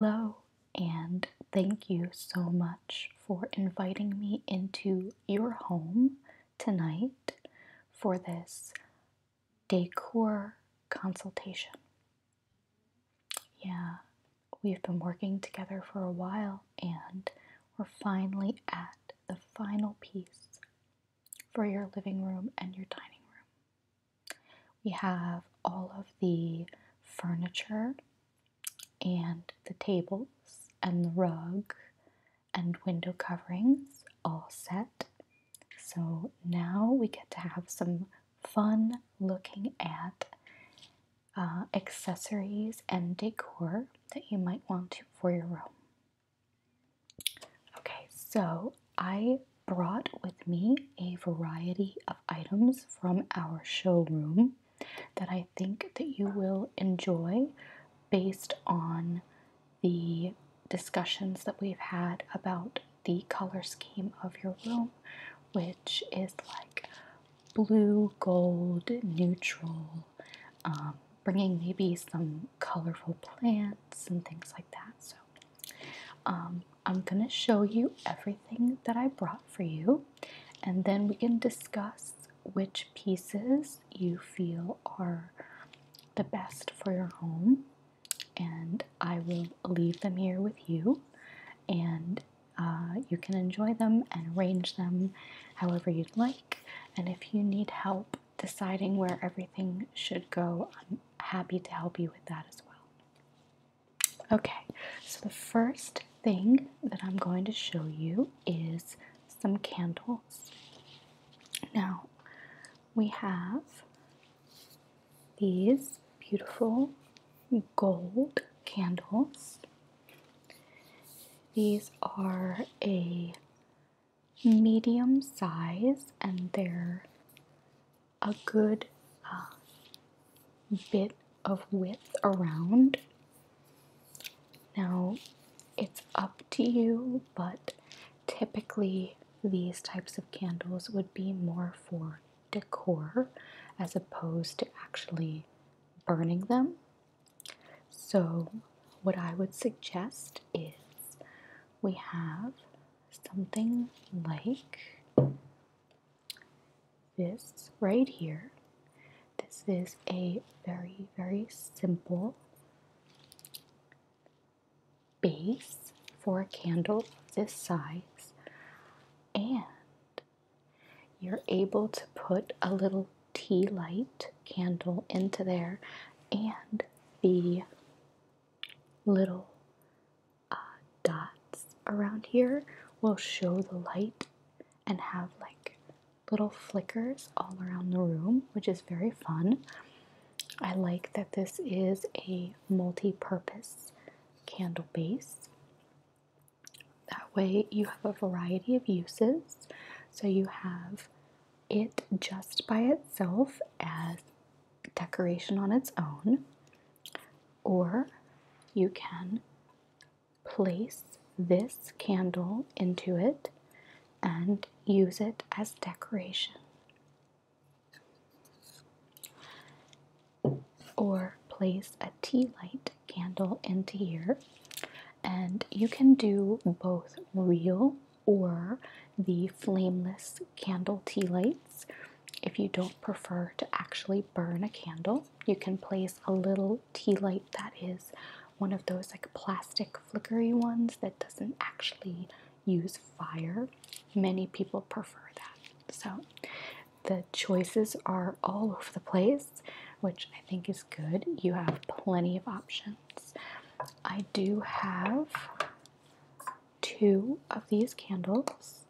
Hello, and thank you so much for inviting me into your home tonight for this decor consultation. Yeah, we've been working together for a while and we're finally at the final piece for your living room and your dining room. We have all of the furniture and the tables and the rug and window coverings all set. So now we get to have some fun looking at uh, accessories and decor that you might want to for your room. Okay, so I brought with me a variety of items from our showroom that I think that you will enjoy based on the discussions that we've had about the color scheme of your room which is like blue, gold, neutral, um, bringing maybe some colorful plants and things like that. So um, I'm gonna show you everything that I brought for you, and then we can discuss which pieces you feel are the best for your home. And I will leave them here with you, and uh, you can enjoy them and arrange them however you'd like. And if you need help deciding where everything should go, I'm happy to help you with that as well. Okay, so the first thing that I'm going to show you is some candles. Now, we have these beautiful gold candles. These are a medium size and they're a good uh, bit of width around. Now, it's up to you, but typically these types of candles would be more for decor as opposed to actually burning them. So, what I would suggest is we have something like this right here, this is a very, very simple base for a candle this size, and you're able to put a little tea light candle into there, and the little uh, dots around here will show the light and have like little flickers all around the room, which is very fun. I like that this is a multi-purpose candle base. That way you have a variety of uses. So you have it just by itself as decoration on its own. Or you can place this candle into it and use it as decoration. Or place a tea light candle into here, and you can do both real or the flameless candle tea lights. If you don't prefer to actually burn a candle, you can place a little tea light that is one of those like plastic flickery ones that doesn't actually use fire. Many people prefer that. So the choices are all over the place, which I think is good. You have plenty of options. I do have two of these candles.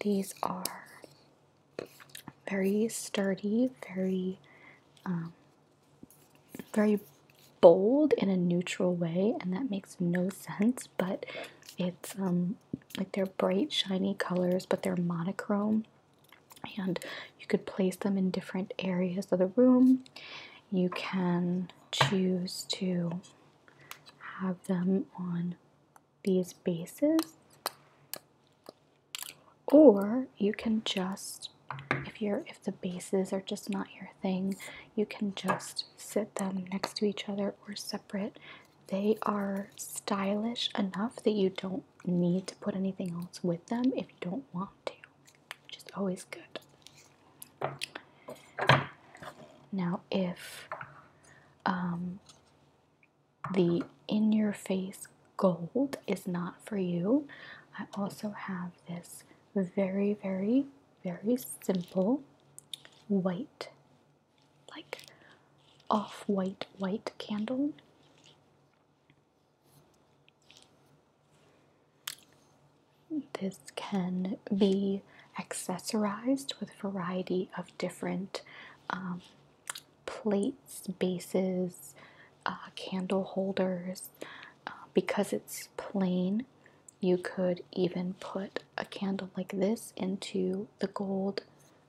These are very sturdy, very, um, very bold in a neutral way, and that makes no sense. But it's um, like they're bright, shiny colors, but they're monochrome, and you could place them in different areas of the room you can choose to have them on these bases or you can just if you're if the bases are just not your thing you can just sit them next to each other or separate they are stylish enough that you don't need to put anything else with them if you don't want to which is always good. Now, if um, the in your face gold is not for you, I also have this very, very, very simple white, like off white, white candle. This can be accessorized with a variety of different um, plates, bases, uh, candle holders. Uh, because it's plain, you could even put a candle like this into the gold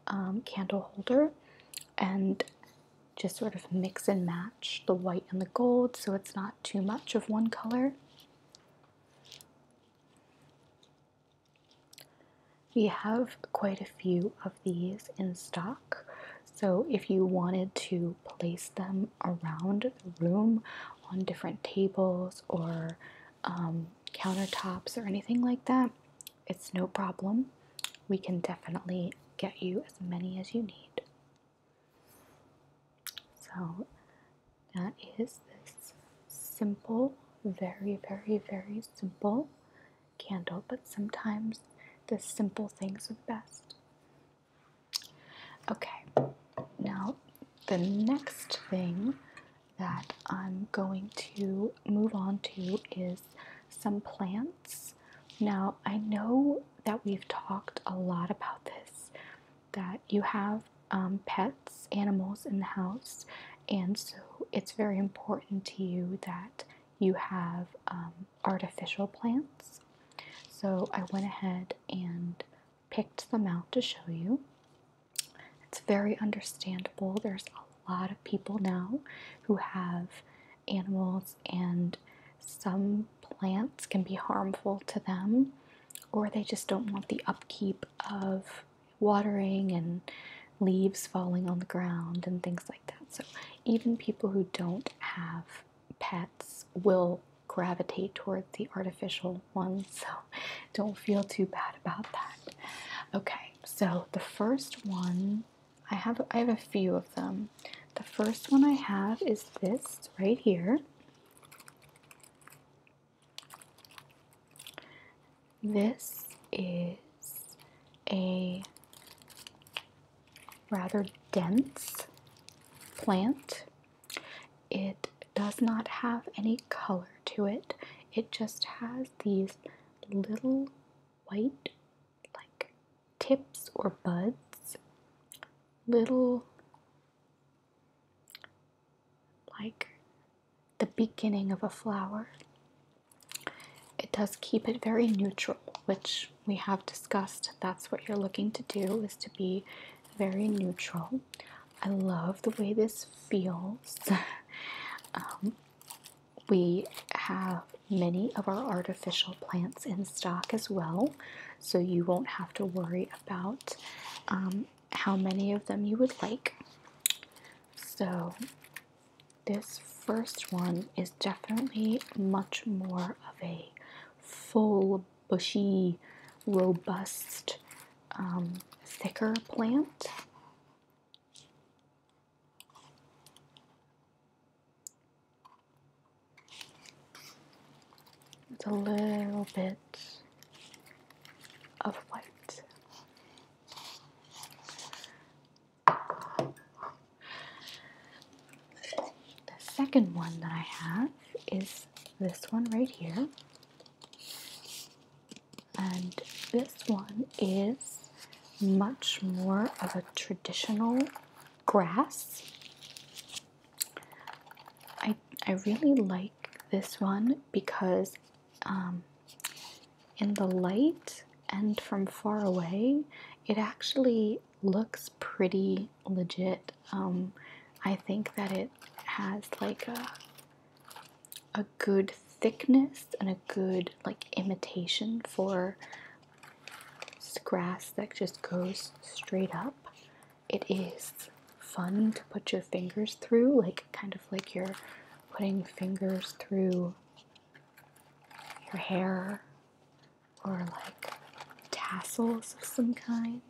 um, candle holder and just sort of mix and match the white and the gold so it's not too much of one color. We have quite a few of these in stock, so if you wanted to place them around the room on different tables or um, countertops or anything like that, it's no problem. We can definitely get you as many as you need. So that is this simple, very, very, very simple candle, but sometimes the simple things are the best. Okay, now the next thing that I'm going to move on to is some plants. Now, I know that we've talked a lot about this that you have um, pets, animals in the house, and so it's very important to you that you have um, artificial plants. So I went ahead and picked them out to show you. It's very understandable. There's a lot of people now who have animals and some plants can be harmful to them, or they just don't want the upkeep of watering and leaves falling on the ground and things like that. So, even people who don't have pets will gravitate toward the artificial ones, so don't feel too bad about that. Okay, so the first one I have I have a few of them. The first one I have is this right here. This is a rather dense plant. It does not have any color to it. It just has these little white like tips or buds, little like the beginning of a flower. It does keep it very neutral, which we have discussed. That's what you're looking to do is to be very neutral. I love the way this feels. Um, we have many of our artificial plants in stock as well, so you won't have to worry about um, how many of them you would like. So, this first one is definitely much more of a full, bushy, robust, um, thicker plant with a little bit of white. The second one that I have is this one right here. And this one is much more of a traditional grass I I really like this one because um, in the light and from far away, it actually looks pretty legit. Um, I think that it has like a a good thickness and a good like imitation for it's grass that just goes straight up. It is fun to put your fingers through, like kind of like you're putting fingers through your hair or like tassels of some kind.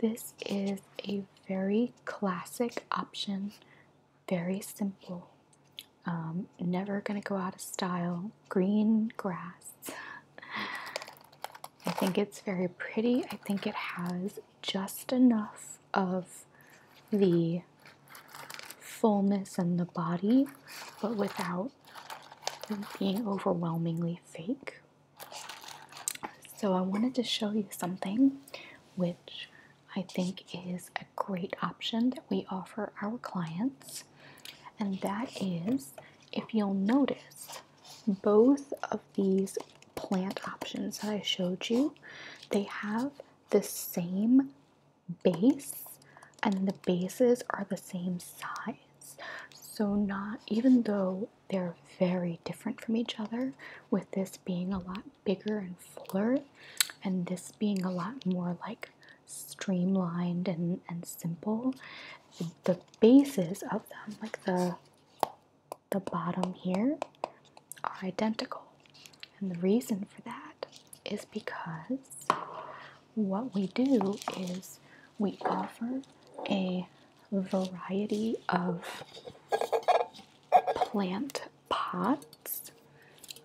This is a very classic option, very simple. Um, never gonna go out of style. Green grass. I think it's very pretty. I think it has just enough of the fullness in the body, but without being overwhelmingly fake. So, I wanted to show you something which I think is a great option that we offer our clients and that is if you'll notice both of these plant options that I showed you, they have the same base, and the bases are the same size. So, not even though they're very different from each other, with this being a lot bigger and fuller, and this being a lot more like streamlined and, and simple. The bases of them, like the the bottom here, are identical. And the reason for that is because what we do is we offer a variety of plant pots.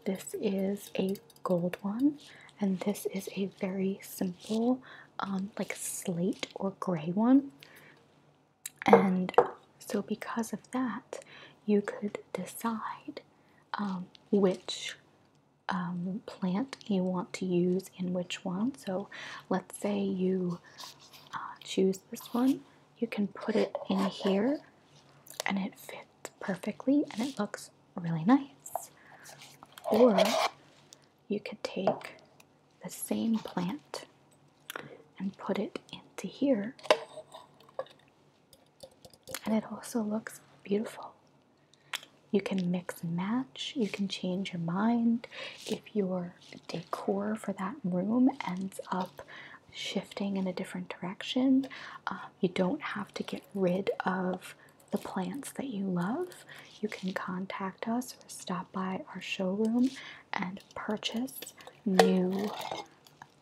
This is a gold one, and this is a very simple, um, like slate or gray one. And so, because of that, you could decide um, which um, plant you want to use in which one. So, let's say you uh, choose this one, you can put it in here and it fits perfectly and it looks really nice. Or you could take the same plant and put it into here, and it also looks beautiful. You can mix and match, you can change your mind if your decor for that room ends up shifting in a different direction. Uh, you don't have to get rid of the plants that you love. You can contact us or stop by our showroom and purchase new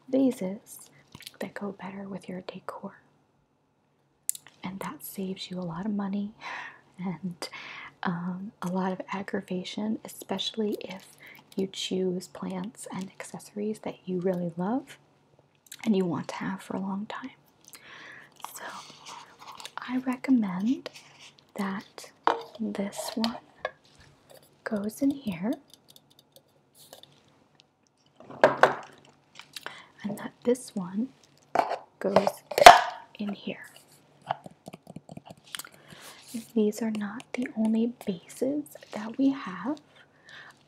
vases that go better with your decor. And that saves you a lot of money and um, a lot of aggravation, especially if you choose plants and accessories that you really love and you want to have for a long time. So I recommend that this one goes in here and that this one goes in here. These are not the only bases that we have.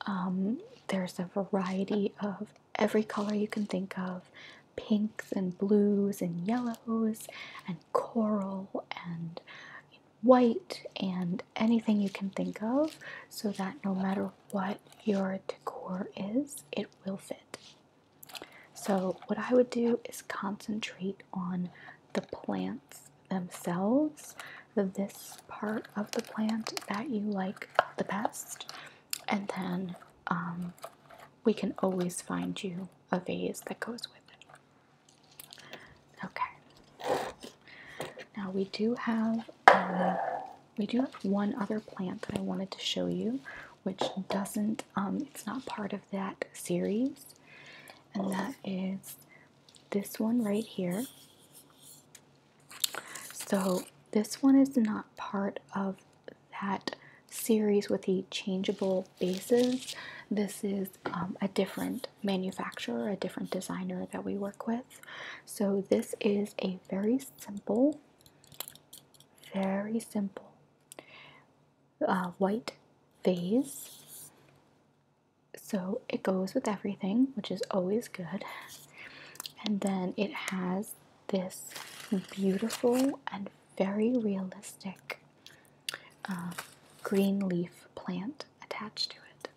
Um, there's a variety of every color you can think of pinks and blues and yellows and coral and white and anything you can think of so that no matter what your decor is, it will fit. So, what I would do is concentrate on the plants themselves this part of the plant that you like the best and then um, we can always find you a vase that goes with it okay now we do have um, we do have one other plant that I wanted to show you which doesn't um, it's not part of that series and that is this one right here so this one is not part of that series with the changeable bases. This is um, a different manufacturer, a different designer that we work with. So this is a very simple, very simple uh, white vase so it goes with everything, which is always good. And then it has this beautiful and very realistic um, green leaf plant attached to it.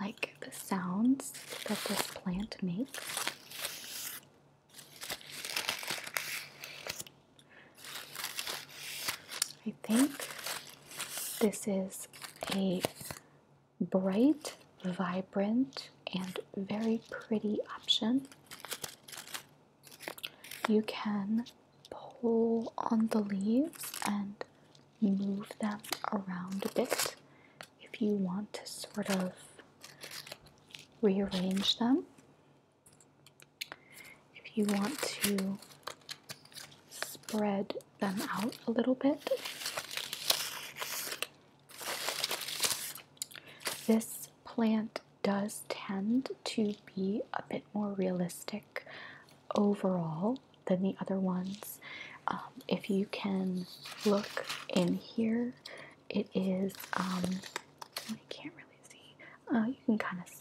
I like the sounds that this plant makes. I think this is a bright, vibrant, and very pretty option. You can pull on the leaves and move them around a bit if you want to sort of rearrange them. If you want to spread them out a little bit. This plant does tend to be a bit more realistic overall than the other ones. Um, if you can look in here, it is, um, I can't really see, uh, you can kind of see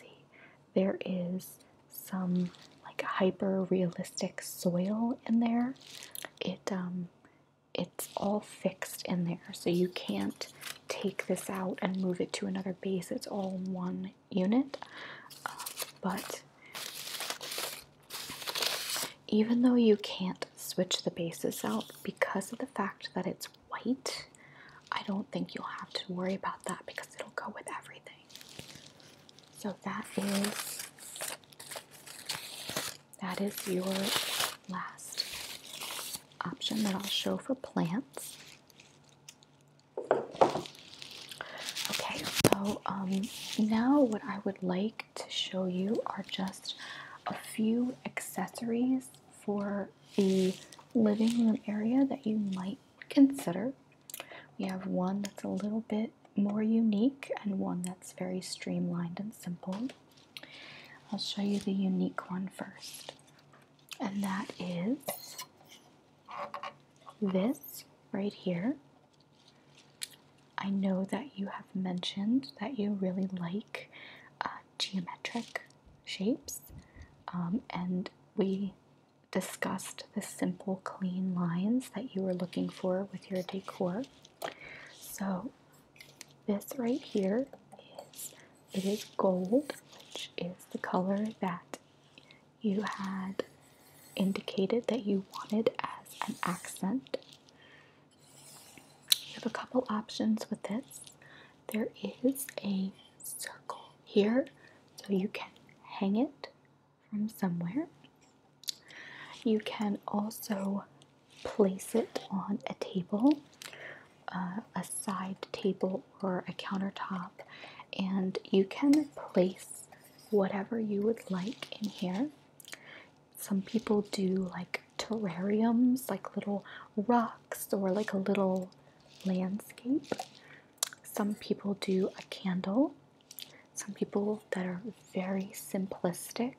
there is some like hyper realistic soil in there. It um it's all fixed in there, so you can't take this out and move it to another base. It's all one unit. Um, but even though you can't switch the bases out because of the fact that it's white, I don't think you'll have to worry about that because it'll go with everything. So that is that is your last option that I'll show for plants. Okay, so um, now what I would like to show you are just a few accessories for the living room area that you might consider. We have one that's a little bit more unique and one that's very streamlined and simple. I'll show you the unique one first, and that is this right here. I know that you have mentioned that you really like uh, geometric shapes, um, and we discussed the simple, clean lines that you were looking for with your decor. So, this right here is it is gold, which is the color that you had indicated that you wanted as an accent. You have a couple options with this. There is a circle here, so you can hang it from somewhere. You can also place it on a table, uh, a side table, or a countertop, and you can place whatever you would like in here. Some people do like terrariums, like little rocks, or like a little landscape. Some people do a candle. Some people that are very simplistic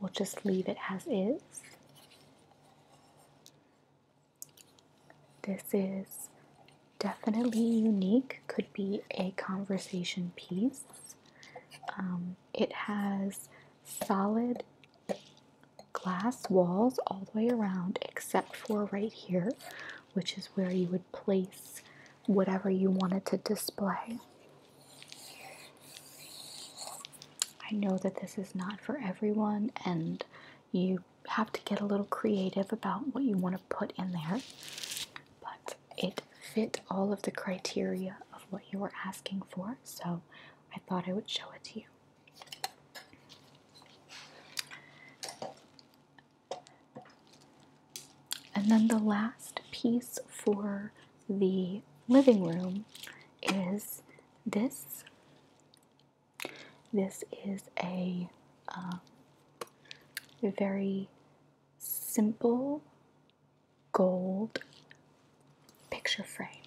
will just leave it as is. This is definitely unique, could be a conversation piece. Um, it has solid glass walls all the way around except for right here which is where you would place whatever you wanted to display. I know that this is not for everyone, and you have to get a little creative about what you want to put in there, but it fit all of the criteria of what you were asking for, so I thought I would show it to you. And then the last piece for the living room is this. This is a uh, very simple gold picture frame.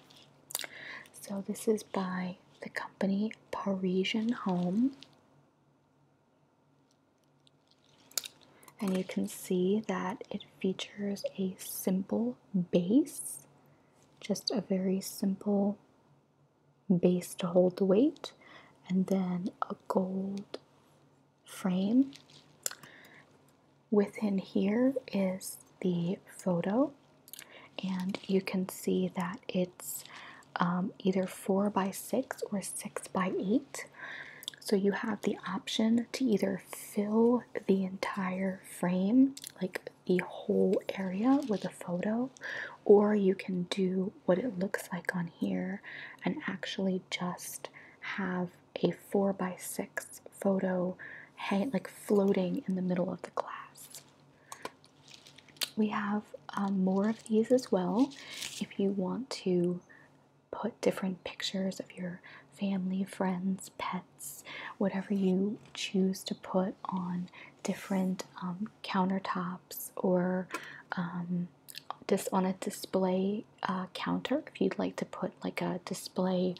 So, this is by the company Parisian Home. And you can see that it features a simple base, just a very simple base to hold the weight, and then a gold frame. Within here is the photo, and you can see that it's um, either 4 by 6 or 6 by 8 so you have the option to either fill the entire frame like the whole area with a photo or you can do what it looks like on here and actually just have a 4 by 6 photo like floating in the middle of the glass we have um, more of these as well if you want to put different pictures of your family, friends, pets, whatever you choose to put on different um, countertops or just um, on a display uh, counter if you'd like to put like a display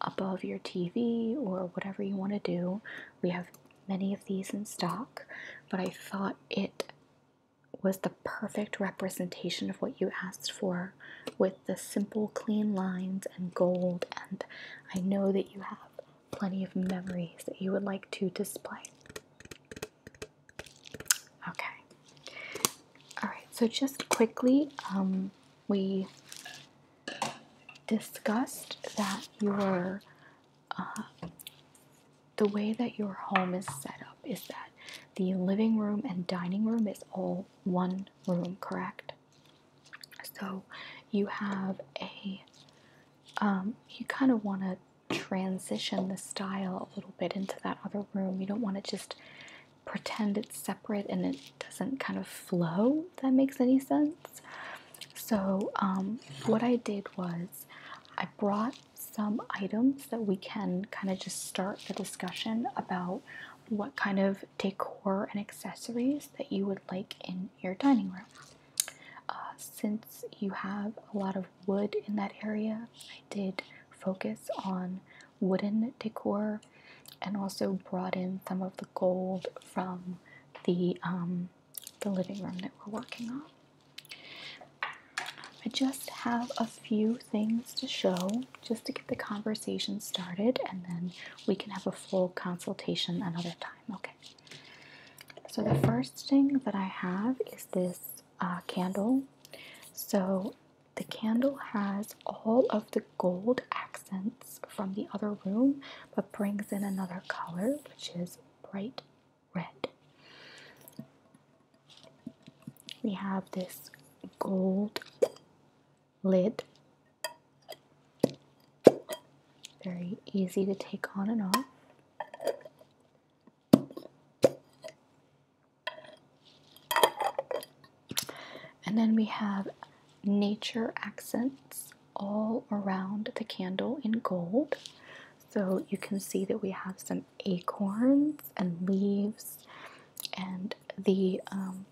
above your TV or whatever you want to do. We have many of these in stock, but I thought it was the perfect representation of what you asked for with the simple, clean lines and gold. And I know that you have plenty of memories that you would like to display. Okay. All right, so just quickly, um, we discussed that your the way that your home is set up is that the living room and dining room is all one room, correct? So you have a, um, you kind of want to transition the style a little bit into that other room. You don't want to just pretend it's separate and it doesn't kind of flow, that makes any sense. So, um, what I did was I brought some items that we can kind of just start the discussion about what kind of decor and accessories that you would like in your dining room. Uh, since you have a lot of wood in that area, I did focus on wooden decor and also brought in some of the gold from the um, the living room that we're working on. I just have a few things to show just to get the conversation started, and then we can have a full consultation another time. Okay. So, the first thing that I have is this uh, candle. So, the candle has all of the gold accents from the other room, but brings in another color, which is bright red. We have this gold lid. Very easy to take on and off. And then we have nature accents all around the candle in gold. So you can see that we have some acorns and leaves, and the um,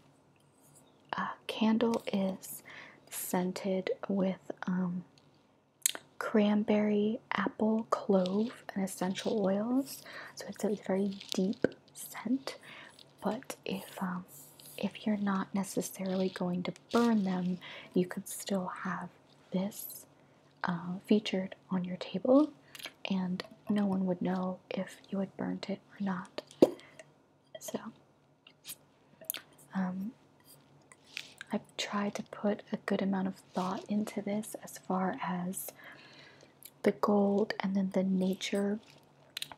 uh, candle is scented with um, cranberry, apple, clove, and essential oils. So it's a very deep scent. But if um, if you're not necessarily going to burn them, you could still have this uh, featured on your table, and no one would know if you had burnt it or not. So, um, I've tried to put a good amount of thought into this as far as the gold and then the nature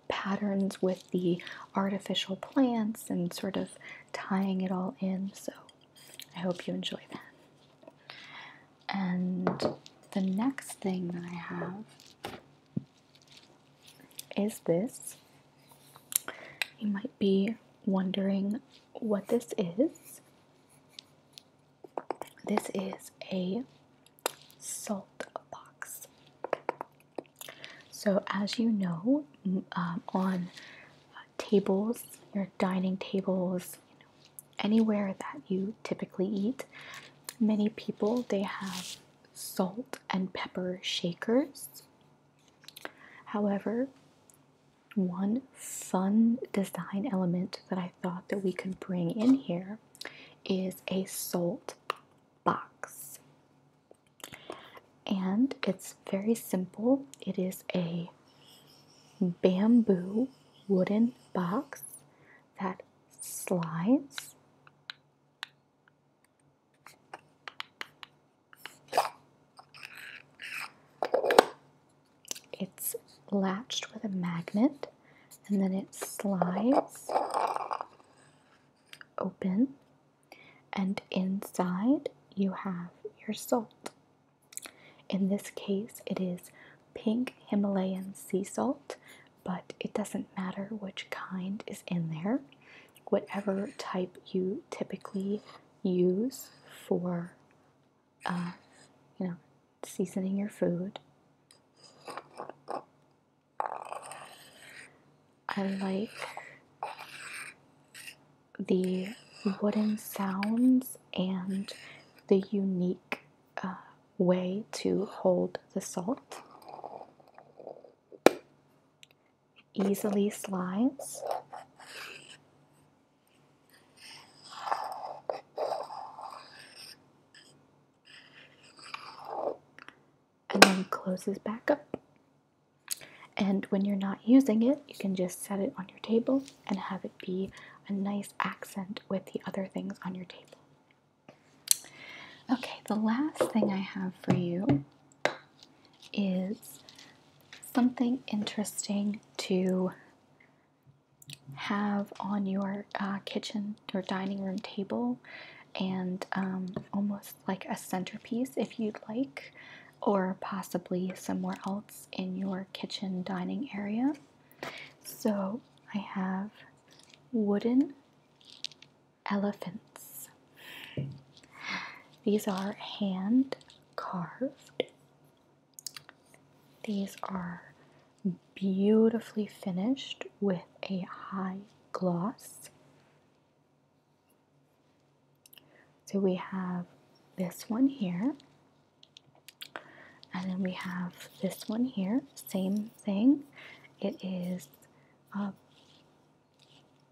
patterns with the artificial plants and sort of tying it all in. So I hope you enjoy that. And the next thing that I have is this. You might be wondering what this is. This is a salt box. So, as you know, um, on uh, tables, your dining tables, anywhere that you typically eat, many people they have salt and pepper shakers. However, one fun design element that I thought that we could bring in here is a salt box and it's very simple. It is a bamboo wooden box that slides. It's latched with a magnet and then it slides open and inside you have your salt. In this case, it is pink Himalayan sea salt, but it doesn't matter which kind is in there. Whatever type you typically use for, uh, you know, seasoning your food I like the wooden sounds and the unique uh, way to hold the salt. easily slides. And then closes back up. And when you're not using it, you can just set it on your table and have it be a nice accent with the other things on your table. Okay, the last thing I have for you is something interesting to have on your uh, kitchen or dining room table and um, almost like a centerpiece if you'd like, or possibly somewhere else in your kitchen dining area. So I have wooden elephants. These are hand carved. These are beautifully finished with a high gloss. So we have this one here, and then we have this one here, same thing. It is a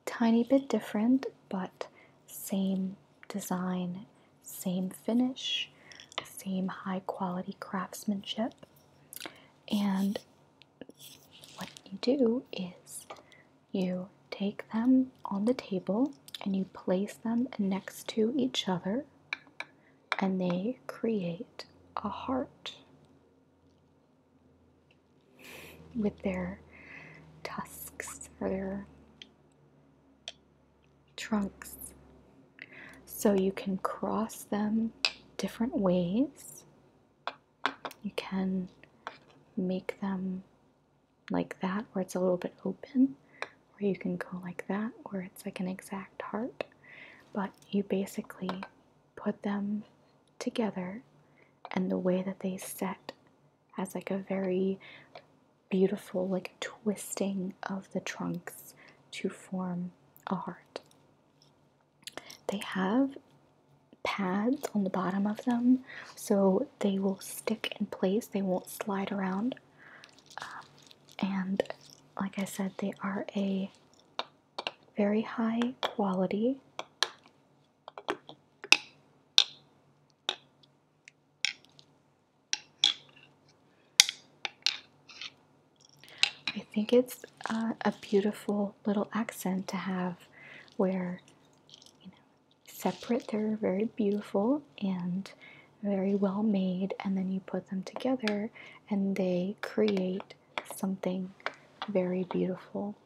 tiny bit different, but same design, same finish, same high quality craftsmanship. And what you do is you take them on the table and you place them next to each other, and they create a heart with their tusks or their trunks. So you can cross them different ways you can make them like that where it's a little bit open or you can go like that where it's like an exact heart but you basically put them together and the way that they set has like a very beautiful like twisting of the trunks to form a heart they have pads on the bottom of them so they will stick in place, they won't slide around. Um, and like I said, they are a very high quality. I think it's uh, a beautiful little accent to have where you know separate they're very beautiful and very well made and then you put them together and they create something very beautiful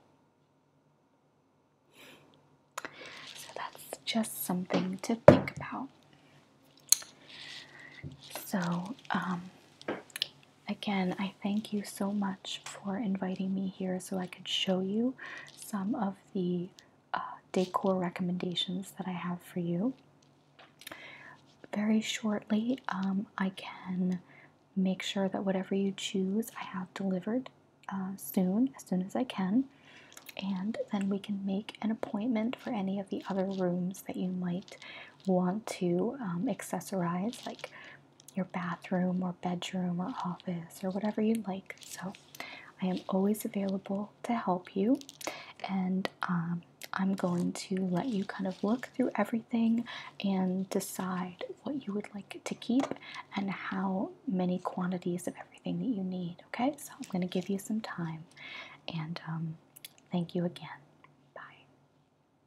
so that's just something to think about so um, again, I thank you so much for inviting me here so I could show you some of the uh, decor recommendations that I have for you. Very shortly, um, I can make sure that whatever you choose, I have delivered uh, soon, as soon as I can. And then we can make an appointment for any of the other rooms that you might want to um, accessorize, like your bathroom or bedroom or office or whatever you like. So I am always available to help you, and um, I'm going to let you kind of look through everything and decide what you would like to keep and how many quantities of everything that you need. Okay, so I'm going to give you some time, and um, thank you again. Bye.